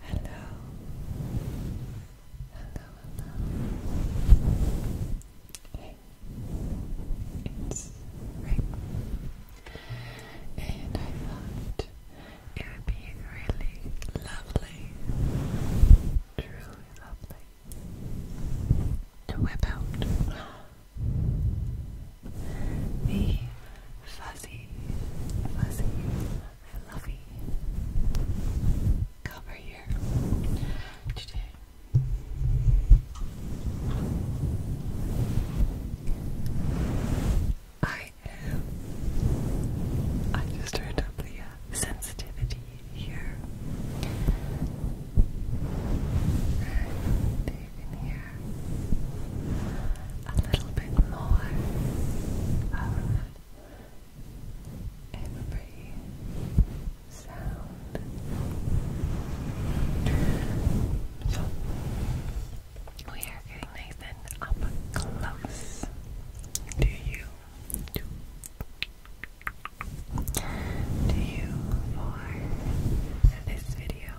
Hello, hello, Hey, it's Rick, and I thought it would be really lovely, truly lovely to whip out the fuzzy, fuzzy, fluffy cover here I am. I just turned up the uh, sensitivity here, you can hear a little bit more of every sound. So we are getting nice up close to you to you for this video,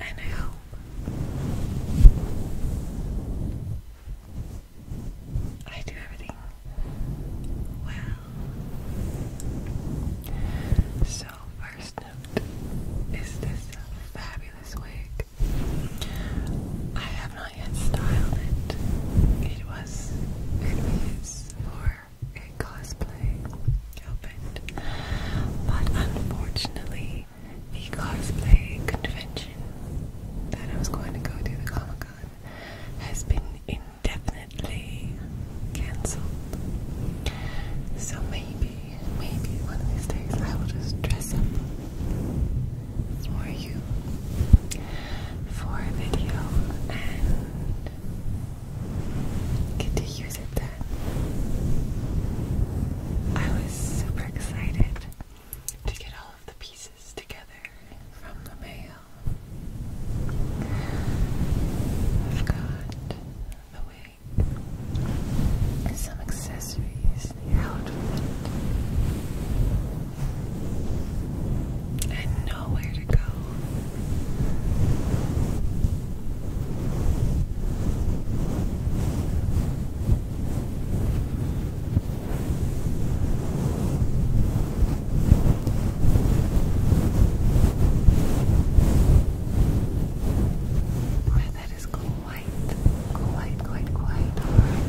I hope I do everything well. So, first note is this fabulous wig. I have have not styled it. It was for a cosplay outfit. But unfortunately the cosplay convention that I was going to go to, the Comic Con, has been indefinitely cancelled. So maybe, maybe one of these days I will just dress up for you for video and get to use it then. I was super excited to get all of the pieces together from the mail. I've got the wig and some accessories Disney outfit and nowhere to go. My quite, quite, quite, quite hard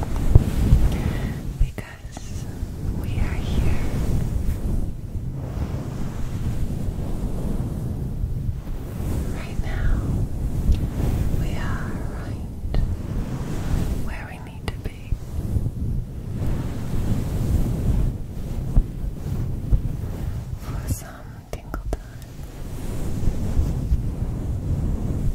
because we are here. Right now, we are right where we need to be. For some tingle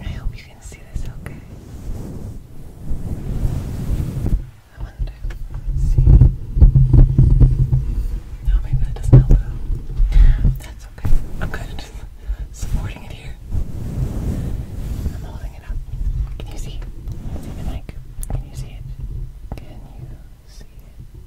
I hope you can see this okay. I wonder. let see. No, oh, maybe that doesn't help That's okay. I'm kind supporting it here. I'm holding it up. Can you see? See the mic? Can you see it? Can you see it?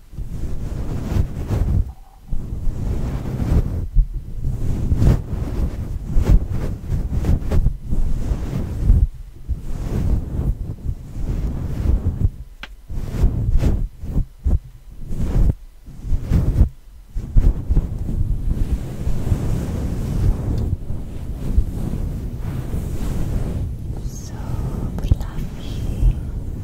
So lovely.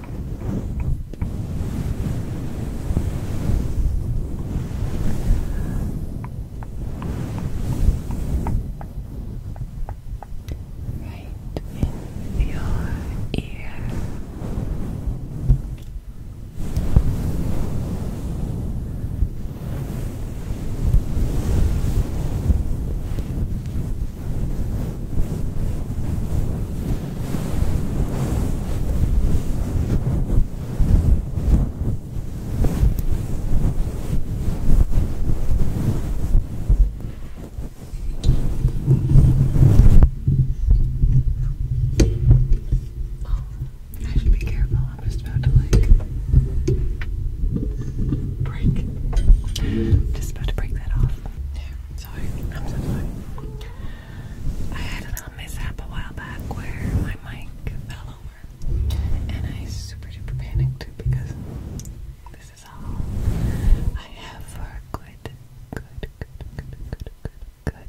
Right in your ear. Right Oh, I should be careful. I'm just about to like break. Just about to break that off. sorry. I'm so sorry. I had a little mishap a while back where my mic fell over, and I super duper panicked because this is all I have for good, good, good, good, good, good, good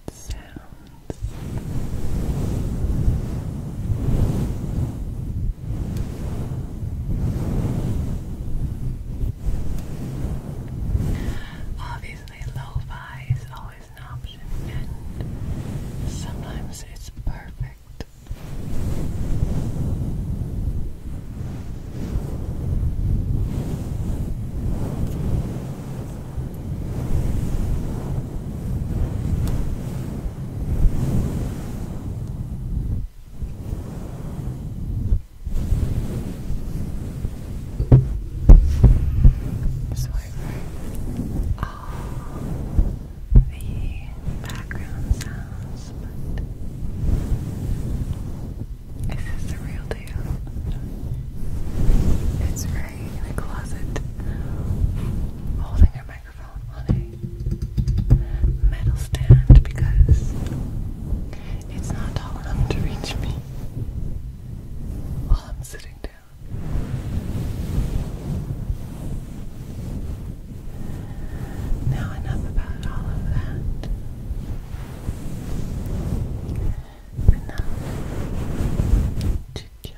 Obviously, lo-fi is always an option, and sometimes it's perfect. Swiper. All ah, the background sounds, but this is the real deal. It's Ray in the closet holding her microphone on a metal stand because it's not tall enough to reach me while I'm sitting down. Now, enough about all of that. Enough to check.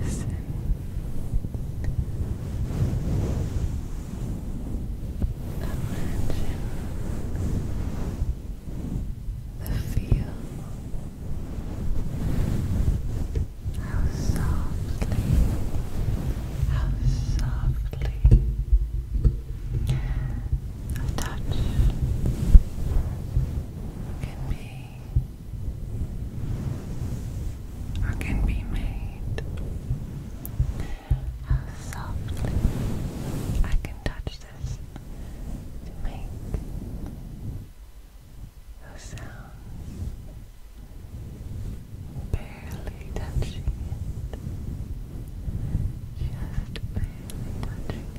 Listen. Imagine the feel. How softly, how softly a touch can be or can be made. How softly I can touch this to make those sounds barely touching it. Just barely touching it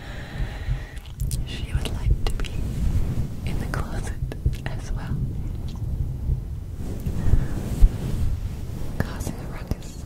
She would like to be in the closet as well, causing a ruckus.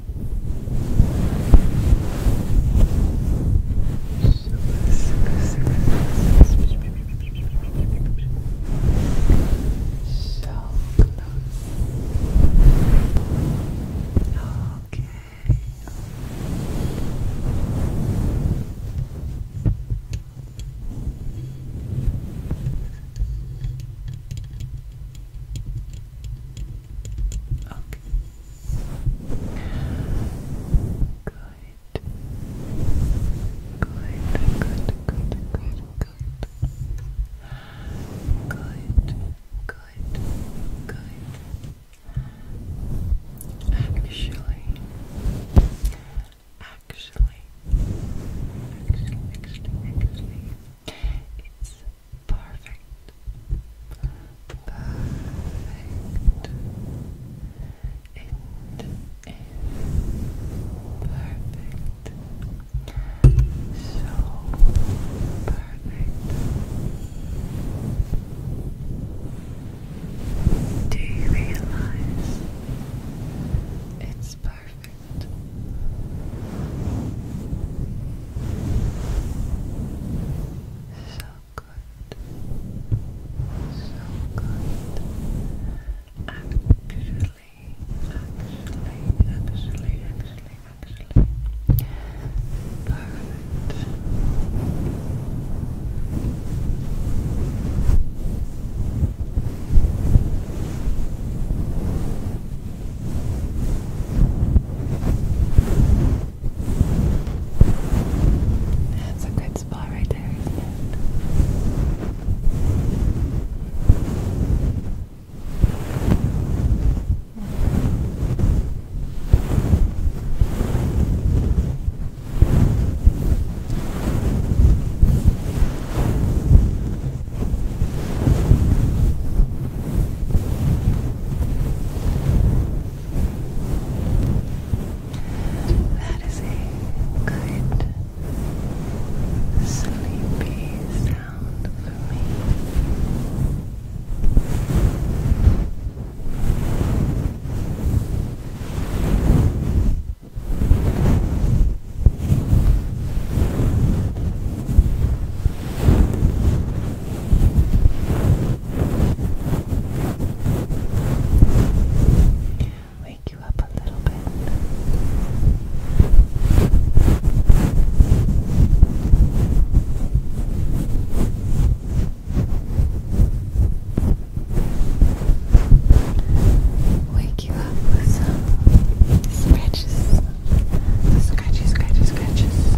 So close. Okay. Okay. Good. Good, good, good, good, good. Good, good, good. Actually, actually, actually, actually, it's perfect. Perfect. It is perfect. So perfect. Do you realize it's perfect. So good. So good. Actually, actually, actually, actually, Perfect. That's a good spot right there. That is a good sleepy sound for me. Wake you up a little bit. Wake wake you up with some scratches. Scratches, scratches, scratches. Scratches,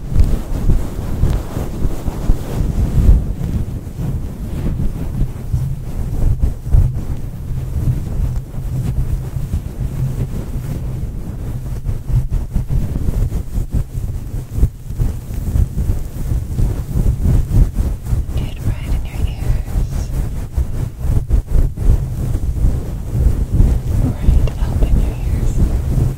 Get right in your ears. Right up in your ears.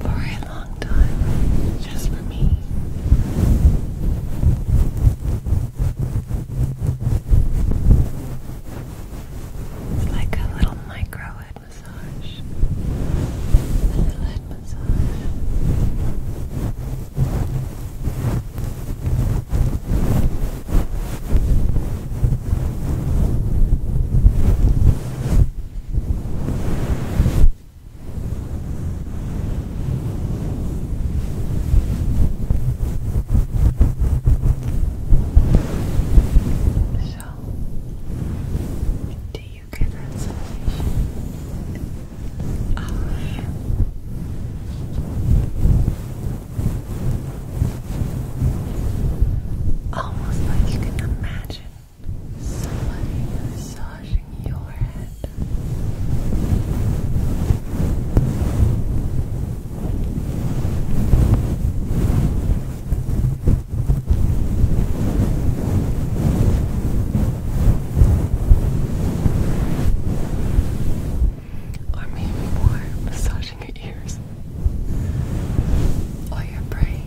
for a long time, just for me. It's like a little micro head massage. A little head massage. So, do you get that sensation of almost like you can imagine Somebody massaging your head. Or maybe more massaging your ears or your brain.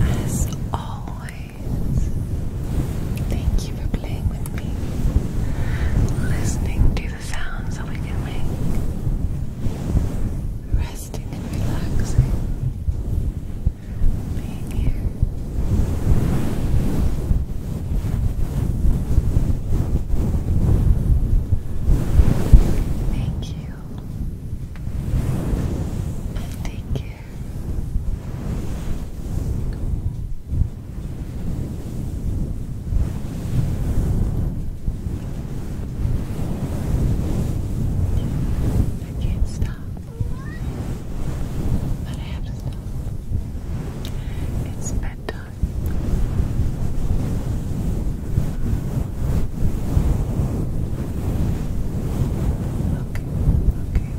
As always, Thank you for playing with me, listening to the sounds that we can make, resting relaxing, being here. Thank you. thank you I can't stop, but I have to stop. It's bedtime. Okay, okay,